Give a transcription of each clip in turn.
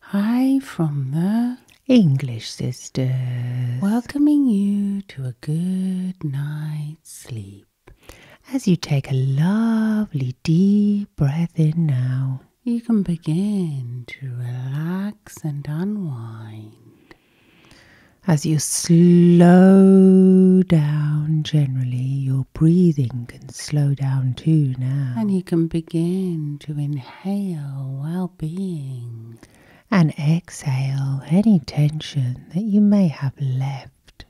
Hi from the English Sisters. Welcoming you to a good night's sleep. As you take a lovely deep breath in now, you can begin to relax and unwind. As you slow down, generally, your breathing can slow down too now. And you can begin to inhale well being and exhale any tension that you may have left.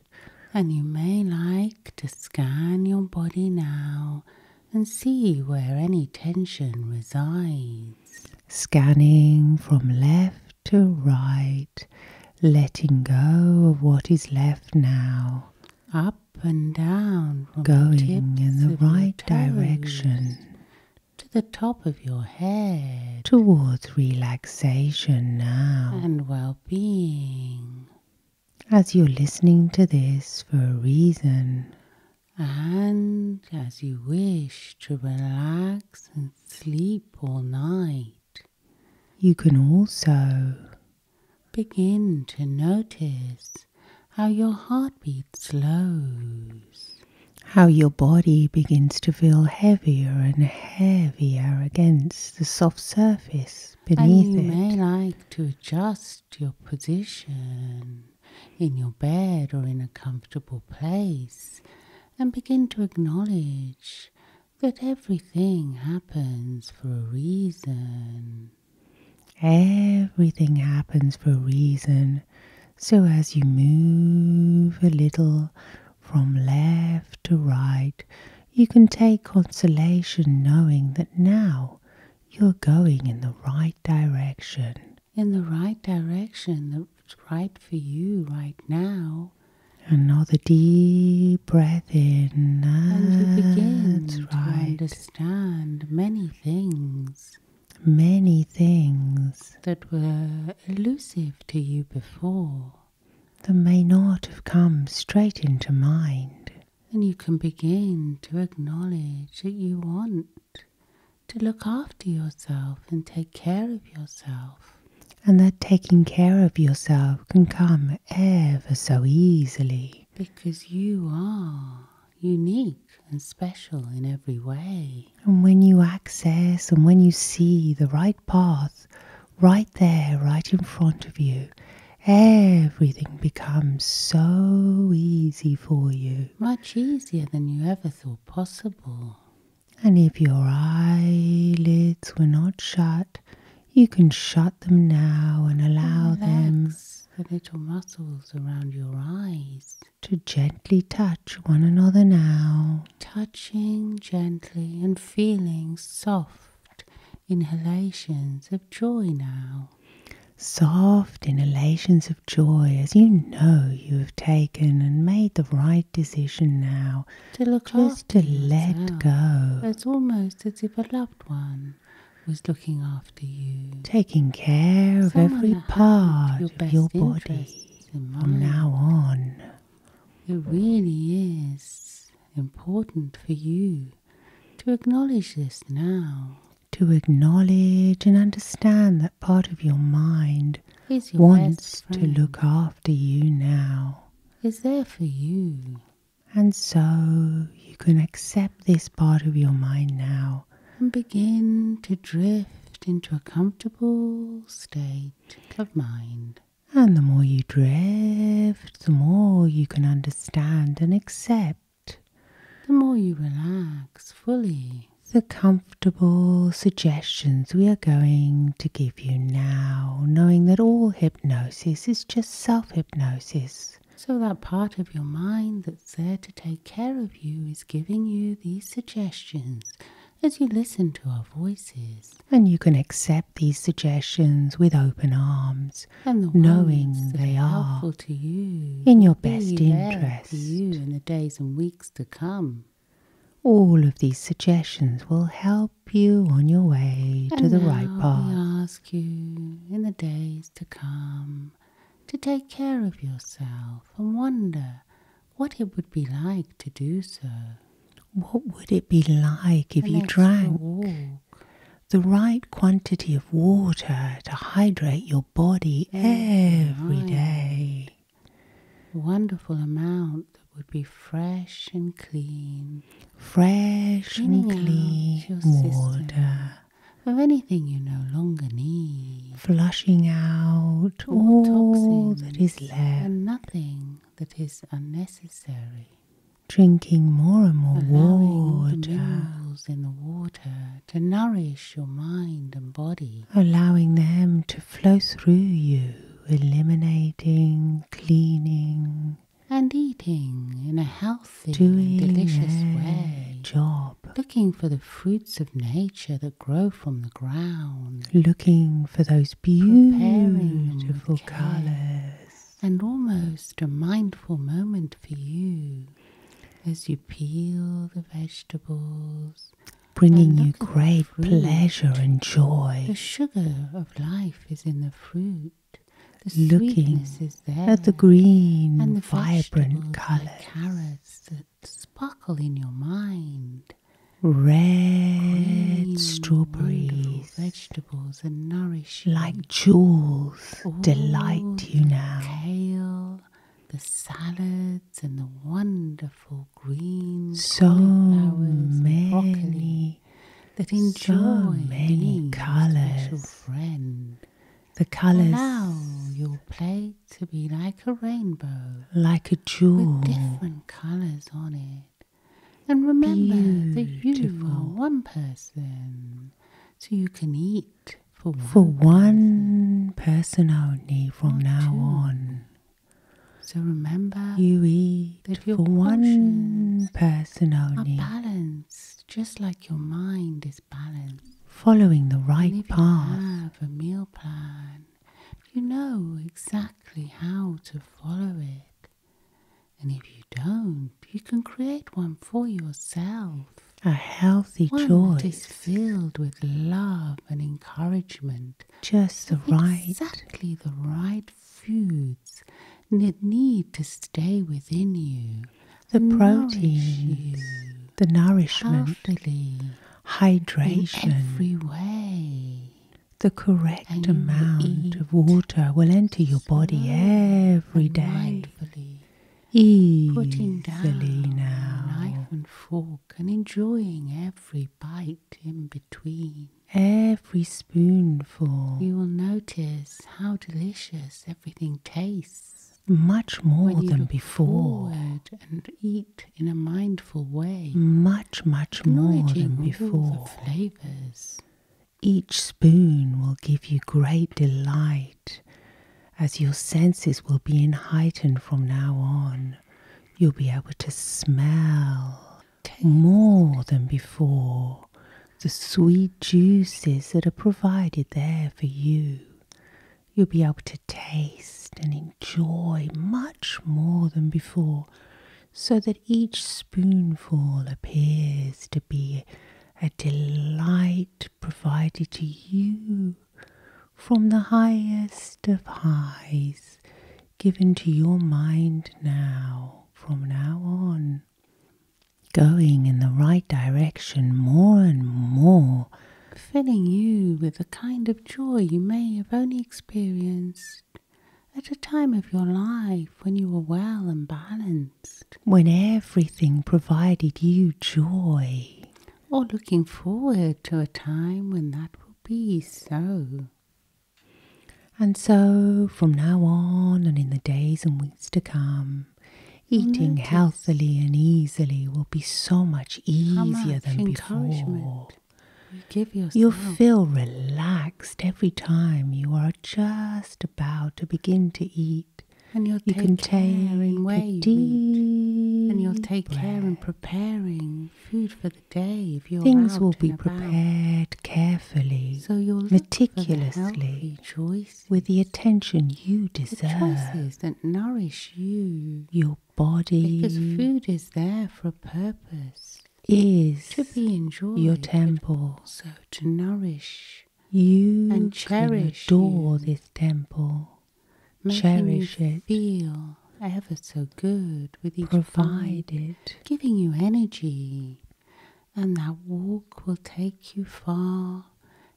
And you may like to scan your body now and see where any tension resides. Scanning from left to right, letting go of what is left now. Up up and down going in the right direction to the top of your head towards relaxation now and well-being as you're listening to this for a reason and as you wish to relax and sleep all night you can also Begin to notice how your heartbeat slows, how your body begins to feel heavier and heavier against the soft surface beneath and You may like to adjust your position in your bed or in a comfortable place and begin to acknowledge that everything happens for a reason Everything happens for a reason. So as you move a little from left to right, you can take consolation knowing that now you're going in the right direction. In the right direction that's right for you right now. Another deep breath in. And you begin to right understand many things. Many things that were elusive to you before, that may not have come straight into mind. And you can begin to acknowledge that you want to look after yourself and take care of yourself. And that taking care of yourself can come ever so easily because you are unique and special in every way. And when you access and when you see the right path right there, right in front of you, everything becomes so easy for you. Much easier than you ever thought possible. And if your eyelids were not shut, you can shut them now and allow Relax them the little muscles around your eyes to gently touch one another now. Touching gently and feeling soft inhalations of joy now. Soft inhalations of joy as you know you have taken and made the right decision now. To look Just to let go. It's almost as if a loved one was looking after you, taking care of every part of your body from now on. It really is important for you to acknowledge this now. To acknowledge and understand that part of your mind your wants to look after you now. Is there for you and so you can accept this part of your mind now and begin to drift into a comfortable state of mind. And the more you drift, the more you can understand and accept. The more you relax fully, the comfortable suggestions we are going to give you now, knowing that all hypnosis is just self hypnosis. So, that part of your mind that's there to take care of you is giving you these suggestions as you listen to our voices. And you can accept these suggestions with open arms, knowing they are in your best interest. you in the days and weeks to come. All of these suggestions will help you on your way to the right path you in the days to come to take care of yourself and wonder what it would be like to do so. What would it be like if you drank the right quantity of water to hydrate your body every day? A wonderful amount that would be fresh and clean fresh and clean water of anything you no longer need, flushing out all, all that is left and nothing that is unnecessary. Drinking more and more allowing water, the minerals in the water to nourish your mind and body, allowing them to flow through you, eliminating, cleaning, and eating in a healthy, Doing delicious way. Job. Looking for the fruits of nature that grow from the ground. Looking for those beautiful colours. And almost a mindful moment for you as you peel the vegetables. Bringing you great pleasure and joy. The sugar of life is in the fruit looking at the green and the vibrant colors carrots that sparkle in your mind red strawberries vegetables and nourish like jewels delight you now kale the salads and the wonderful green so flowers, many that enjoy many colors. Friend. The colors allow your plate to be like a rainbow, like a jewel with different colors on it. And remember Beautiful. that you are one person, so you can eat for one, for person. only from now on. So remember, you eat for one person only. balance balanced, just like your mind is balanced. Following the right path. You have a meal plan. You know exactly how to follow it. And if you don't, you can create one for yourself. A healthy choice. That is filled with love and encouragement. Just the right. Exactly the right foods need to stay within you, the proteins, the nourishment, healthily, hydration, every way. The correct amount of water will enter your body every day. Easily putting down now. knife and fork and enjoying every bite in between every spoonful. You will notice how delicious everything tastes. Much more than before. And eat in a mindful way. Much, much more than before. flavors. Each spoon will give you great delight, as your senses will be heightened from now on. You'll be able to smell okay. more than before the sweet juices that are provided there for you. You'll be able to taste and enjoy much more than before, so that each spoonful appears to be a delight provided to you from the highest of highs given to your mind now, from now on going in the right direction more and more, filling you with a kind of joy you may have only experienced at a time of your life when you were well and balanced, when everything provided you joy, or looking forward to a time when that will be so. And so, from now on and in the days and weeks to come, eating healthily and easily will be so much easier than before. You will feel relaxed every time you are just about to begin to eat. And you'll take can care in where you eat. And you'll take care in preparing food for the day. Things will be prepared carefully, so you'll meticulously, with the attention you deserve. The choices that nourish you, your body, because food is there for a purpose. Is to be enjoyed your temple, so to nourish you and cherish. adore this temple, Making cherish Feel ever so good with each Provide it, giving you energy and that walk will take you far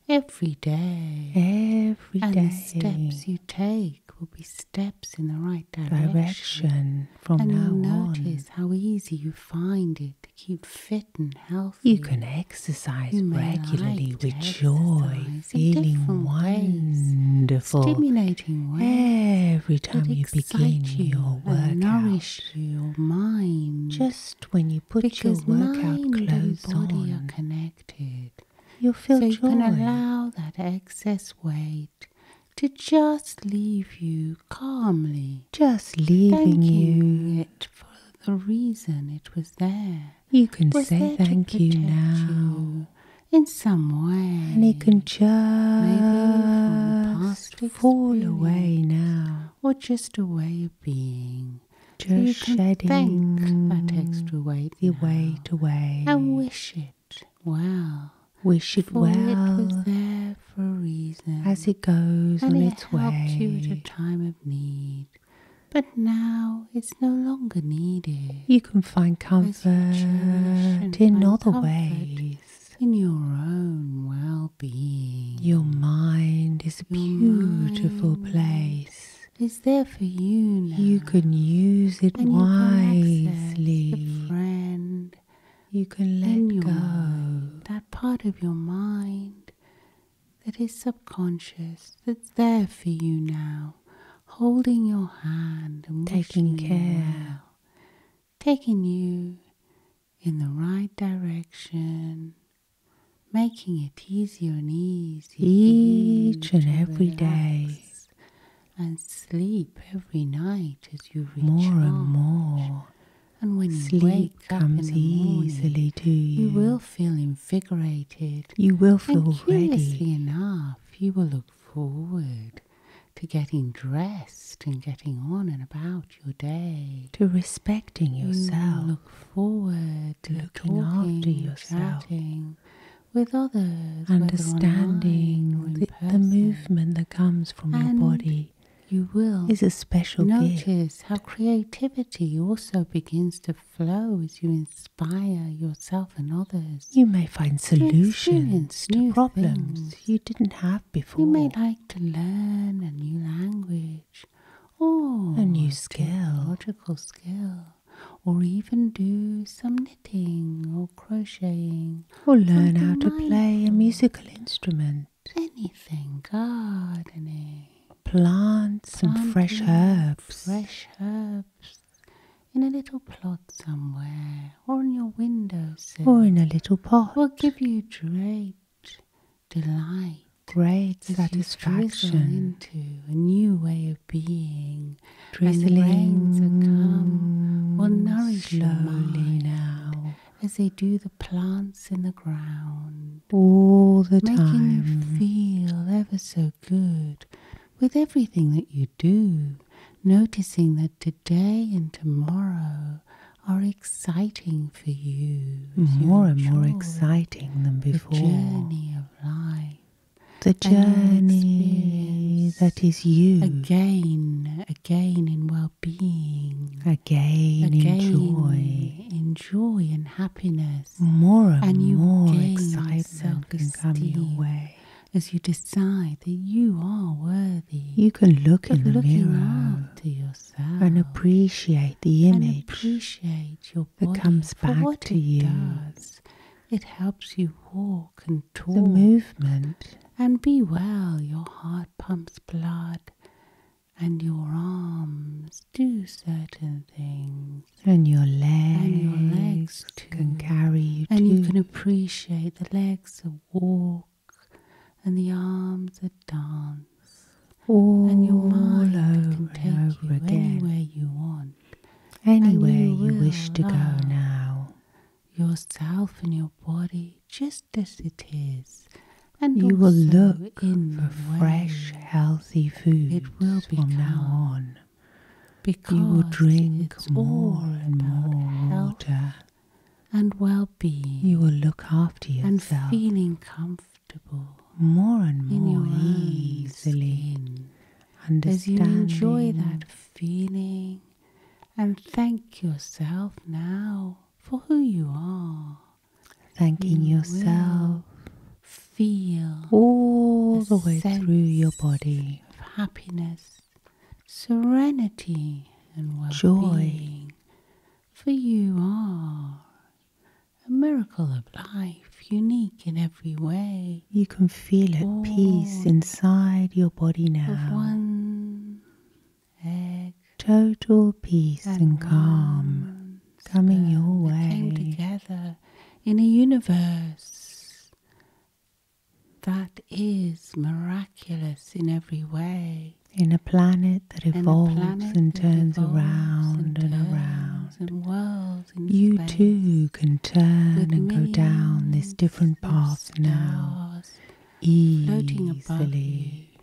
every day. Every and the steps you take will be steps in the right direction. Direction from and now you notice how easy you find it to keep fit and healthy. You can exercise regularly with joy, feeling wonderful, stimulating ways. Every time you your you and nourish your mind. Just when you put because your workout clothes body on, are connected. You'll feel so you can allow that excess weight to just leave you calmly. Just leaving you. it for the reason it was there. You can say thank you now. in some way. And it can just Maybe from the past fall away now, or just a way of being. Just shedding that extra weight, the now, weight away, and wish it well. Wish it for well. It was there for a reason. As it goes and it its helped way. you at a time of need. But now it's no longer needed. You can find comfort in other comfort ways in your own well being. Your mind is a beautiful place. It's there for you now? You can use it wisely. You friend. You can let go. that part of your mind that is subconscious, that's there for you now, holding your hand and taking care taking you in the right direction, making it easier and easier each and every day, and sleep every night as you recharge. More and more. And when sleep comes easily to you, you will feel invigorated. You will feel and curiously ready. enough, you will look forward to getting dressed and getting on and about your day, to respecting mm, yourself. You look forward to looking after yourself. with others, understanding the, movement that comes from your body. You will is a special notice how creativity also begins to flow as you inspire yourself and others. You may find solutions to problems you didn't have before. You may like to learn a new language or a new skill, logical skill, or even do some knitting or crocheting, or learn how to play a musical instrument. Anything, gardening, plants Planting and fresh herbs. Fresh herbs in a little plot somewhere or in your windowsill or in a little pot will give you great delight, great satisfaction into a new way of being. Drizzling as the rains that come will nourish slowly your mind now as they do the plants in the ground. All the time. Making you feel ever so good with everything that you do do, noticing that today and tomorrow are exciting for you. More and more exciting than before. The journey of life. The journey that is you. Again, again in well being. Again, in joy. In joy and happiness. More and, and more excitement can coming your way as you decide that you are worthy. You can look in the mirror yourself and appreciate the image appreciate your that comes back to you. It helps you walk and talk. The movement. And be well, your heart pumps blood and your arms do certain things. And your legs, can carry you And you can appreciate the legs are walk and the arms that dance. All and your mind can take you again. anywhere you want. Anywhere you, wish to go now. Yourself and your body just as it is. And you will look in for fresh, healthy food it will from now on because you will drink more and more water. and well-being. You will look after yourself and feeling comfortable more and more easily. Skin. As you enjoy that feeling and thank yourself now for who you are. Thanking yourself. Feel all the way through your body. happiness serenity, and well joy. For you are a miracle of life, unique in every way. You can feel at peace inside your body now. Total peace and, calm coming your way. Came together in a universe that is miraculous in every way. In a planet that evolves and turns around and, around, and you too can turn and go down this different path now easily.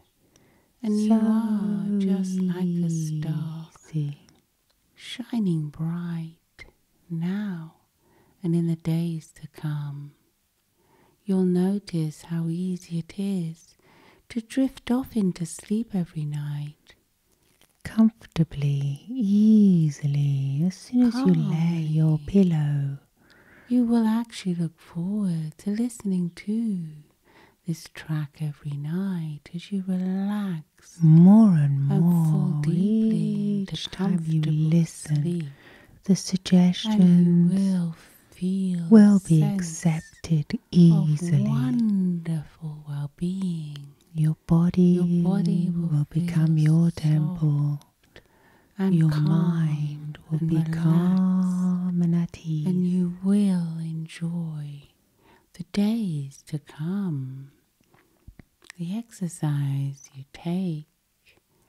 And so you are just like a star, easy. shining bright now and in the days to come. You'll notice how easy it is to drift off into sleep every night. Comfortably, easily, as soon as you lay your pillow, you will actually look forward to listening to this track every night as you relax more and more deeply each time you listen the suggestions will be accepted easily. Wonderful well-being. Your body, will, will become your temple. your mind will be calm and at ease. And you will enjoy the days to come. The exercise you take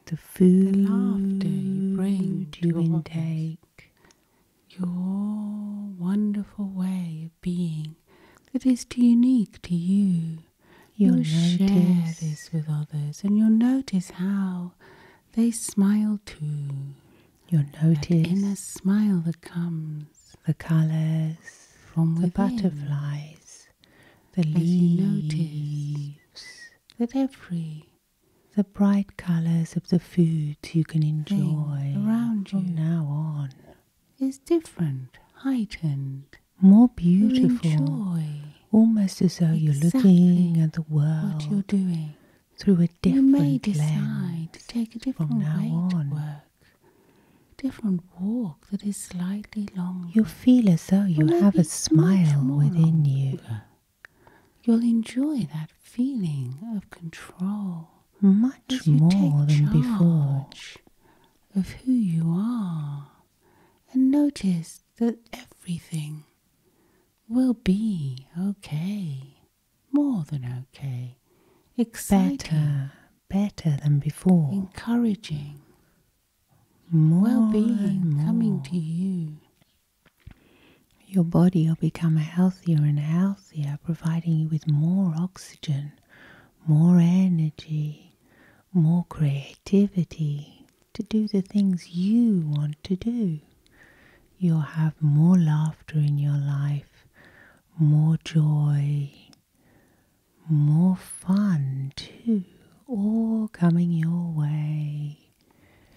the food, the laughter you bring to you intake, your wonderful way of being that is too unique to you. You'll, share this with others, and you'll notice how they smile too. You'll notice in a smile that comes, the colors from the butterflies, the leaves, that every the bright colors of the food you can enjoy around you from now on is different, heightened, more beautiful. almost as though you're looking at the world what you're doing through a different you may decide lens to take a different from now on. to work, different walk that is slightly long. You feel as though you have a smile within you. You'll enjoy that feeling of control. Much more than before. Of who you are, and notice that everything will be okay, more than okay, exciting, better, better than before, encouraging, well being coming to you. Your body will become healthier and healthier, providing you with more oxygen, more energy, more creativity to do the things you want to do. You'll have more laughter in your life, more joy, more fun too, all coming your way.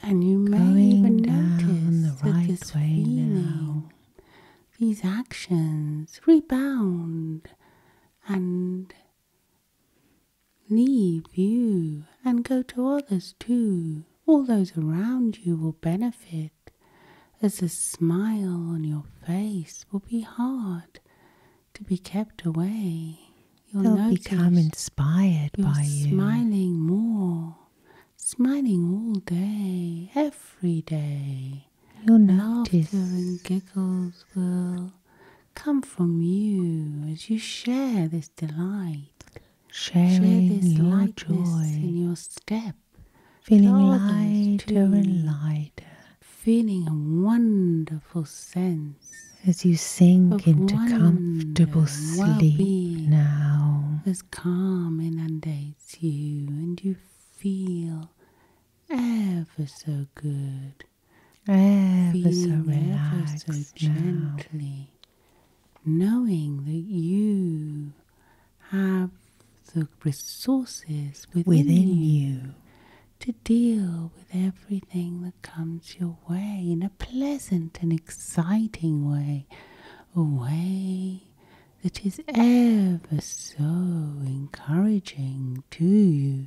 And you may Going even notice the right that this way feeling, now. these actions rebound and leave you and go to others too. All those around you will benefit as the smile on your face will be hard to be kept away. You'll They'll become inspired by you. Smiling more, smiling all day, every day. You'll Laughter and giggles will come from you as you share this delight. share this your joy in your step. Feeling lighter and lighter feeling a wonderful sense as you sink into comfortable sleep now. As calm inundates you, and you feel ever so good, ever so relaxed, ever so gently, now. knowing that you have the resources within, you to deal with everything that comes your way in a pleasant and exciting way, a way that is ever so encouraging to you.